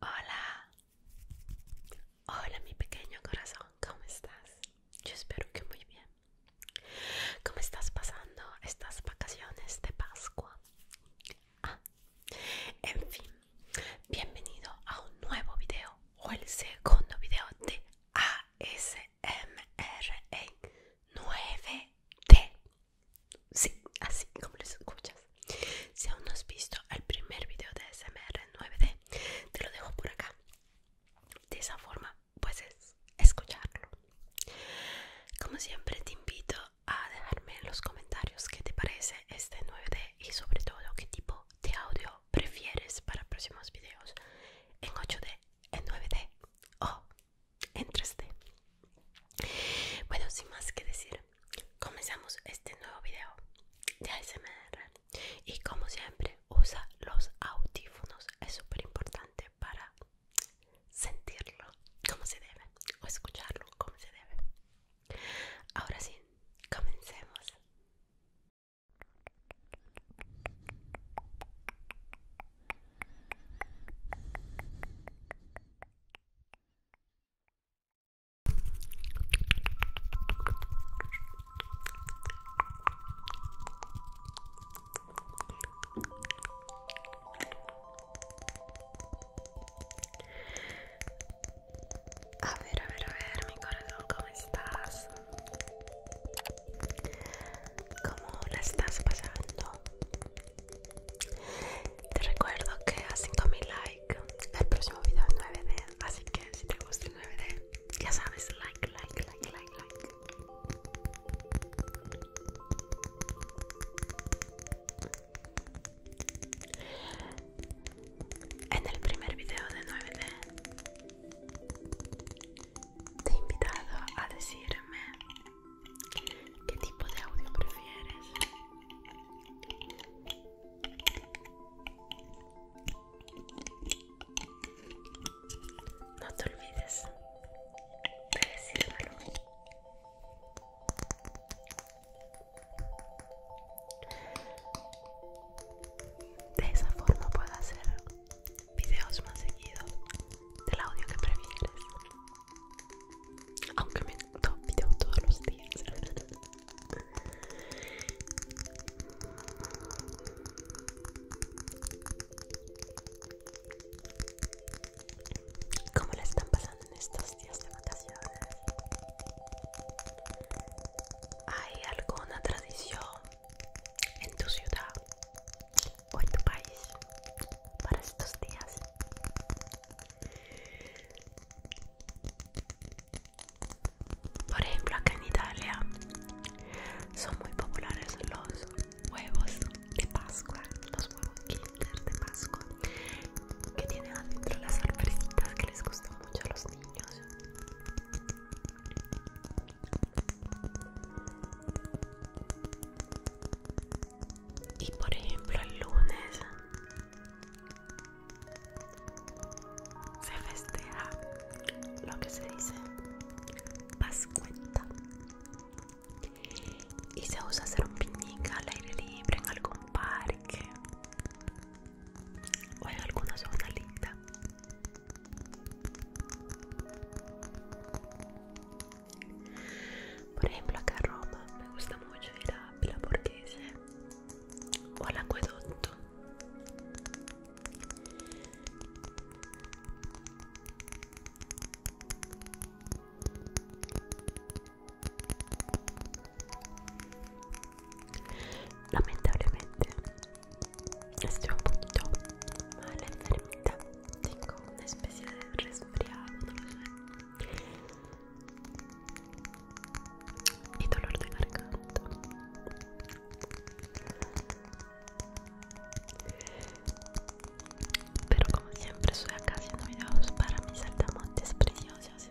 Hola, hola mi pequeño corazón, ¿cómo estás? Yo espero que muy bien. ¿Cómo estás pasando estas vacaciones de Pascua? Ah, en fin, bienvenido a un nuevo video o el segundo video de ASMR en 9D. Sí, así como lo escuchas. Si aún no has visto el primer video de SMR 9D, te lo dejo por acá. De esa forma puedes escucharlo. Como siempre, te invito a dejarme en los comentarios qué te parece este 9D y sobre todo qué tipo de audio prefieres para próximos videos en 8D, en 9D o en 3D. Bueno, sin más que decir, comenzamos este nuevo video de ASMR y como siempre usa los audífonos es súper importante para sentirlo como se debe o escucharlo como se debe ahora sí comencemos a ver, a ver, a ver, mi corazón, ¿cómo estás? ¿Cómo la estás pasando? Te recuerdo que a 5000 likes el próximo video es 9D, así que si te gusta el 9D, ya sabes, like, like, like, like, like. En el primer video de 9D te he invitado a decirme ¿Qué tipo de audio prefieres? No te olvides de decírmelo. De esa forma puedo hacer videos más seguidos del audio que prefieres aunque me el video todos los días ¿Cómo le están pasando en estos días de vacaciones? ¿Hay alguna tradición en tu ciudad o en tu país para estos días? Por ejemplo, acá en Italia son muy populares los huevos de Pascua, los huevos Kinder de Pascua, que tienen adentro las sorpresitas que les gustan mucho a los niños y por ejemplo el lunes se festeja lo que se dice pascuenta y se usa hacer un picnic al aire libre en algún parque o en alguna zona linda Por ejemplo, acá en Roma me gusta mucho ir a Villa Borghese o al Acueducto. Lamentablemente estoy un poquito mala enfermita tengo una especie de resfriado y dolor de garganta pero como siempre soy acá haciendo videos para mis saltamontes preciosos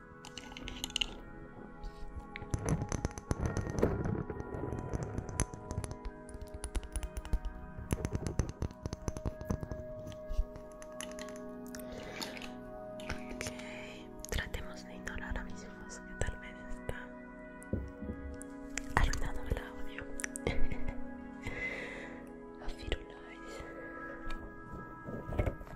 Ok, tratemos de ignorar a mis hijos que tal vez están arruinando el audio.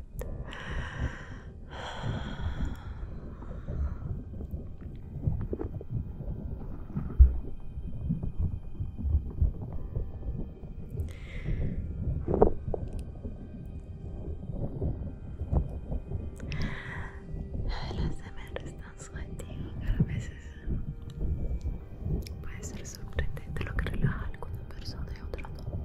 perfecto. es tan están que a veces puede ser sorprendente lo que relaja a alguna persona y otra no.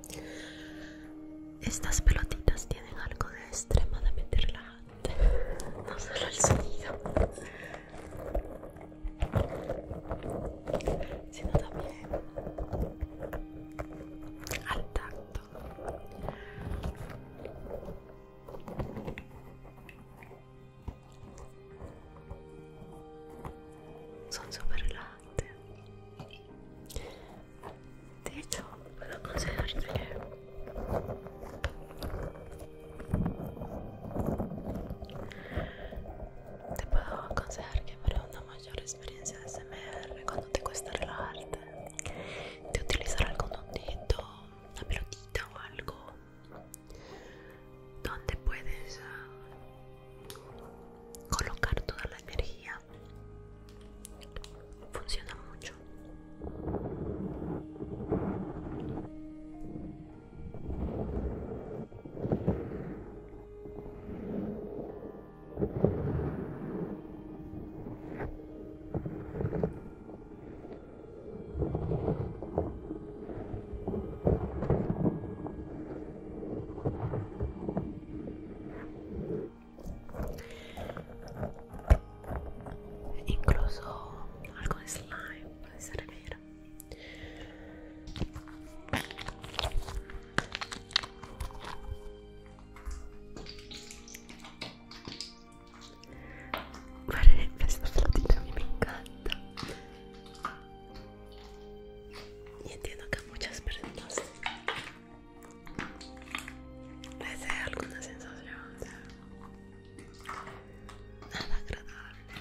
Estas pelotitas tienen algo de extremadamente relajante, no solo el sonido, sino también al tacto. Son super relajantes. De hecho, puedo te puedo aconsejar que para una mayor experiencia de SMR, cuando te cuesta relajarte, te utilizar algún ondito, una pelotita o algo, donde puedes ah, colocar toda la energía funciona mucho incluso algo de slime puede servir por ejemplo esta flotita a mí me encanta y entiendo que muchas personas les dé alguna sensación nada agradable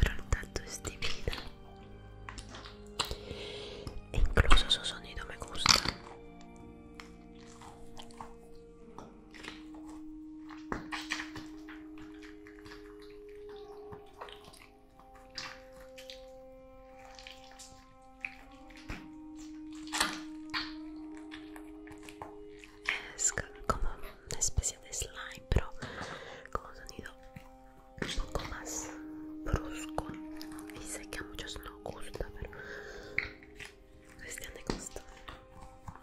pero el tacto es divino e incluso su sonido me gusta es como una especie de slime, pero con un sonido un poco más brusco. Y sé que a muchos no gusta, pero es de gusto.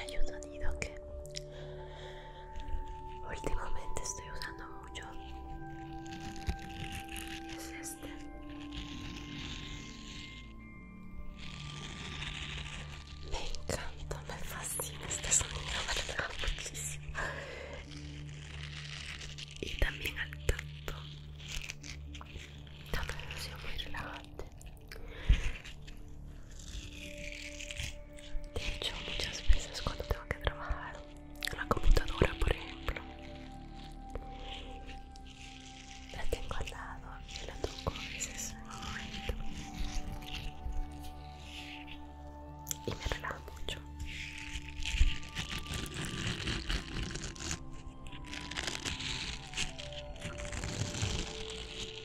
Hay un sonido que últimamente estoy usando mucho es este me encanta me fascina este sonido me relaja muchísimo y también al tacto también ha sido muy relajante de hecho, muchas veces cuando tengo que trabajar en la computadora, por ejemplo, la tengo al lado y la toco y me relaja mucho.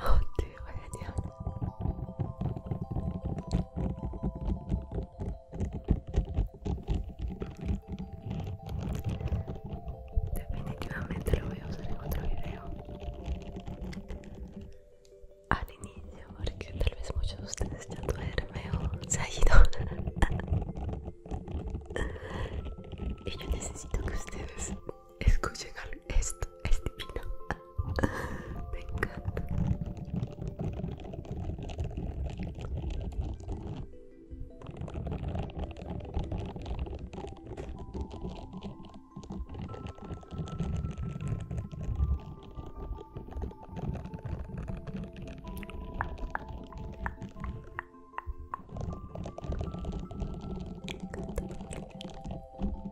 Oh, te voy Definitivamente lo voy a usar en otro video. Al inicio, porque tal vez muchos de ustedes ya duermen o se ha ido. y yo necesito que ustedes Escuchen esto, es este divino. Me encanta. Me encanta.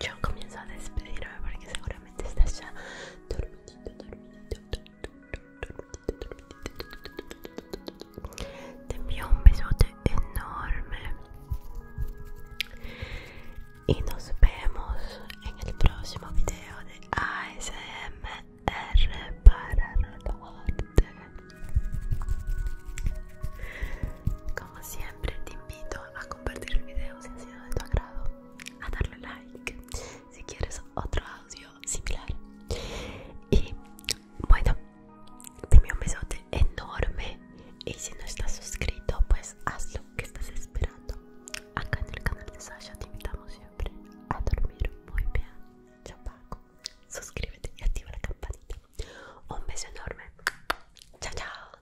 yo comienzo a despedirme porque seguramente estás ya dormidito, dormidito, Te envío un besote enorme y nos vemos en el próximo video de ASMR para TV Como siempre te invito a compartir el video si ha sido de tu agrado a darle like si quieres otro audio similar. Y bueno, te un besote enorme. Y si no estás suscrito, pues hazlo que estás esperando. Acá en el canal de Sasha te invitamos siempre a dormir muy bien. Chao, Paco. Suscríbete y activa la campanita. Un beso enorme. Chao, chao.